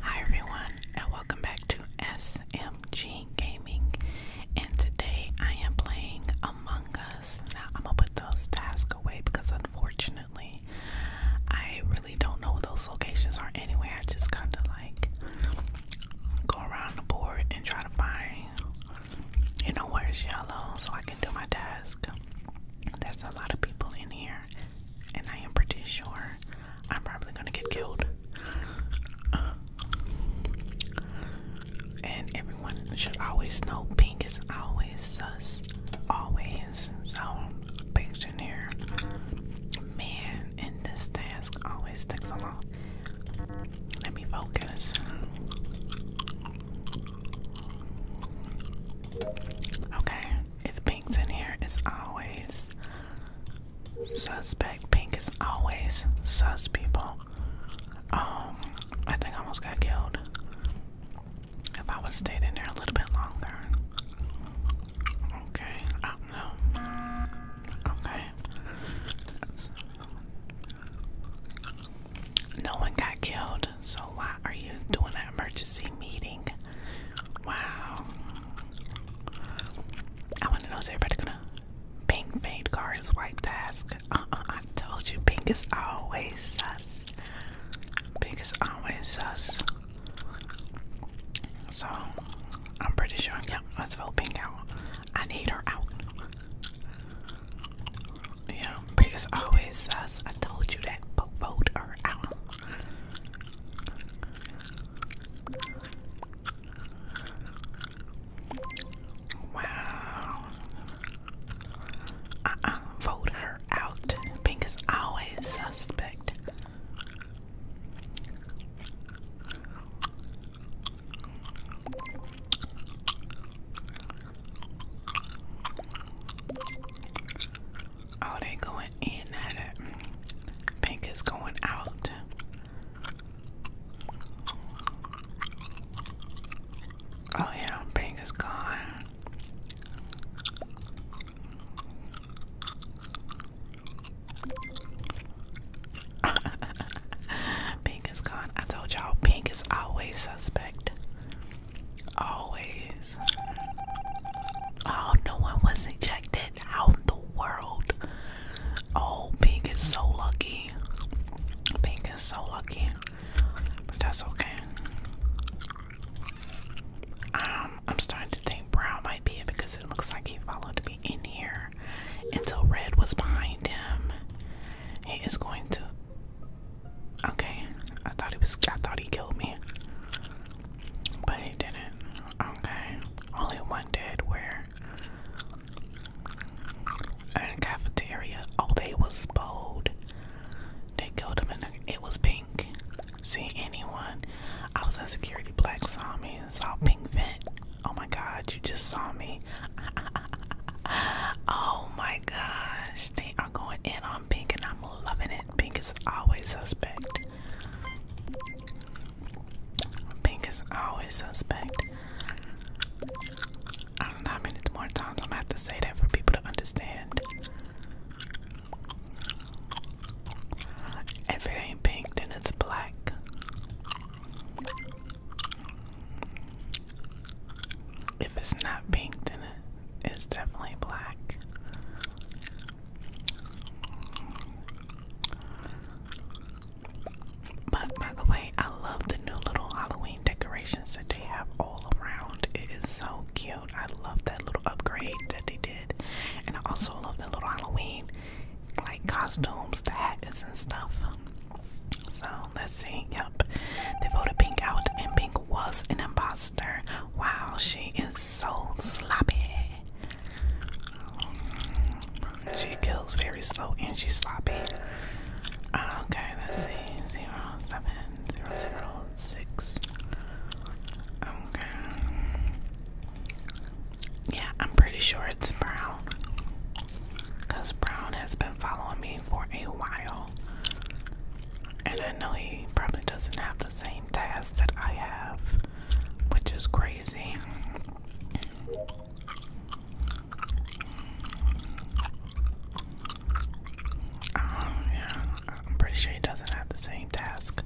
Hi everyone and welcome back to SMG Gaming and today I am playing Among Us. Now I'm gonna put those tasks away because unfortunately I really don't know those locations are anyway. I just kinda like go around the board and try to find you know where it's yellow so I can do my task. There's a lot of people in here and I am pretty sure I'm probably gonna get killed. and everyone should always know pink is always sus, always. So, patient here. Man, and this task always takes a long. Let me focus. Okay, if pink's in here, it's always suspect. Pink is always sus, people. Um, I think I almost got killed. If I would stayed in there a little bit longer. Okay, I Okay. No one got killed, so why are you doing an emergency meeting? Wow. I want to know is everybody gonna pink made cards wipe task? Uh-uh, I told you, pink is always sus. Pink is always sus. So, I'm pretty sure. Yep, yeah, let's vote pink out. I need her out. Yeah, Peter's always says, I told you that, vote her out. Wow. Uh-uh, vote her out. Pink is always suspect. Oh, they going in now that pink is going out. Oh yeah, pink is gone. pink pink is gone. I told y'all pink is always suspect. Always. Oh, no one was ejected. How in the world? Oh, pink is so lucky. Pink is so lucky. But that's okay. Um, I'm starting to think brown might be it because it looks like he followed me in here until red was behind him. He is going to Okay, I thought he was. I thought he killed me, but he didn't. Okay, only one dead. Where? In the cafeteria. Oh, they was bold. They killed him, and it was pink. See anyone? I was in security. Black saw me and saw pink vent. Oh my god, you just saw me. oh my gosh, they are going in on pink and I'm loving it. Pink is always suspect. Pink is always suspect. I don't know how many more times I'm gonna have to say that for people to understand. If it ain't pink, then it's black. If it's not pink, then it's definitely black. But by the way, I love the new little Halloween decorations that they have all around. It is so cute. I love that little upgrade that they did. And I also love the little Halloween like costumes, the hats and stuff. So let's see. Yep. They voted Pink out and Pink was an imposter. Wow, she is so sloppy. She goes very slow and she's sloppy. Okay, let's see. Zero seven zero zero six. Okay. Yeah, I'm pretty sure it's Brown. Because Brown has been following me for a while. And I know he probably doesn't have the same task that I have, which is crazy. Um, yeah, I'm pretty sure he doesn't have the same task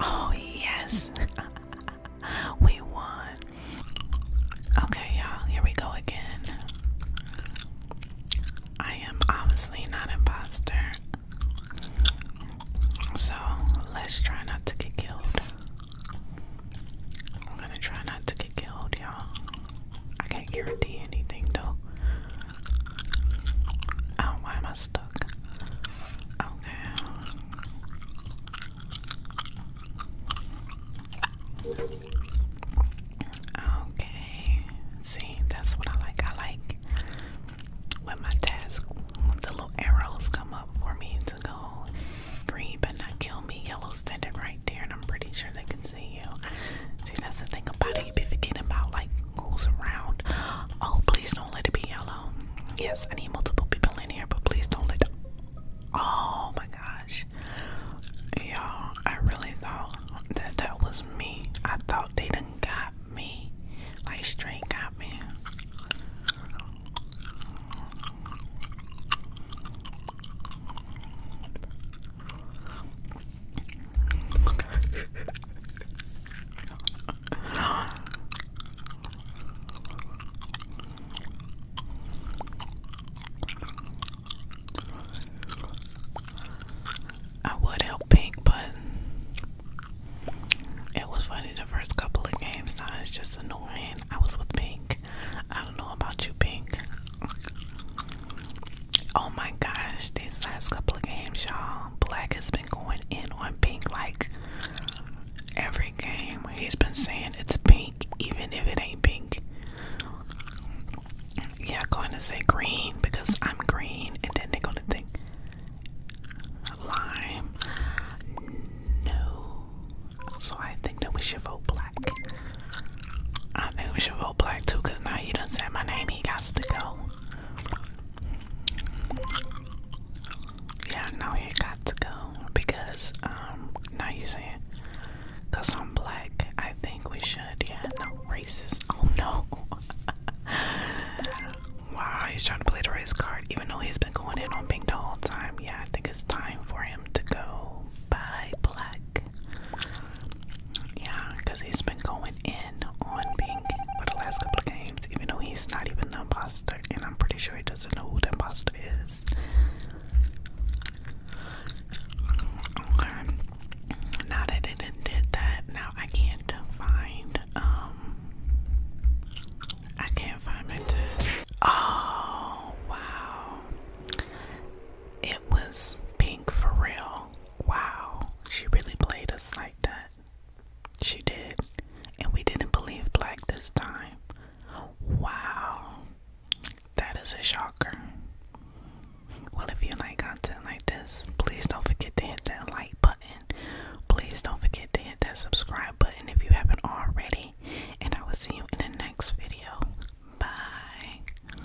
Oh, yes. we won. Okay, y'all, here we go again. I am obviously not imposter. So let's try not to get killed. I'm gonna try not to get killed, y'all. I can't guarantee anything though. Oh, why am I stuck? Okay. Okay. See, that's what I like. I like when my task, the little arrows come up for me to go green but not kill me. Yellow's standing right there, and I'm pretty sure they can see you. See, that's the thing about it. You be forgetting about like who's around. Oh, please don't let it be yellow. Yes, I need multiple people in here, but please don't let. Oh my gosh, y'all! I really thought that that was me. I thought they done got me, like straight got me. I would help Pink, but it was funny the first couple of games. Now it's just annoying. I was with Pink. I don't know about you, Pink. Oh my gosh, these last couple of games, y'all. Black has been going in on pink like every game. He's been saying it's pink, even if it ain't pink. Yeah, I'm going to say green because I'm green, and then they're going to think lime. No. So I think that we should vote black. I think we should vote black too now he done said my name, he got to go. Yeah, no, he got to go because um, now you saying, cause I'm black. I think we should. Yeah, no racist. Oh no. wow, he's trying to play the race card, even though he's been going in on Pink the whole time. Yeah, I think it's time for him to go. Bye, black. Yeah, because he's been going in on Pink for the last couple of games, even though he's not even the imposter, and I'm pretty sure he doesn't know who the imposter is. Okay. Now that it did that, now I can't find um I can't find my test. Oh wow. It was pink for real. Wow, she really played us like that. She did. And we didn't believe Black this time. Wow, that is a shocker. Well, if you like content like this, please don't forget to hit that like button. Please don't forget to hit that subscribe button if you haven't already. And I will see you in the next video. Bye.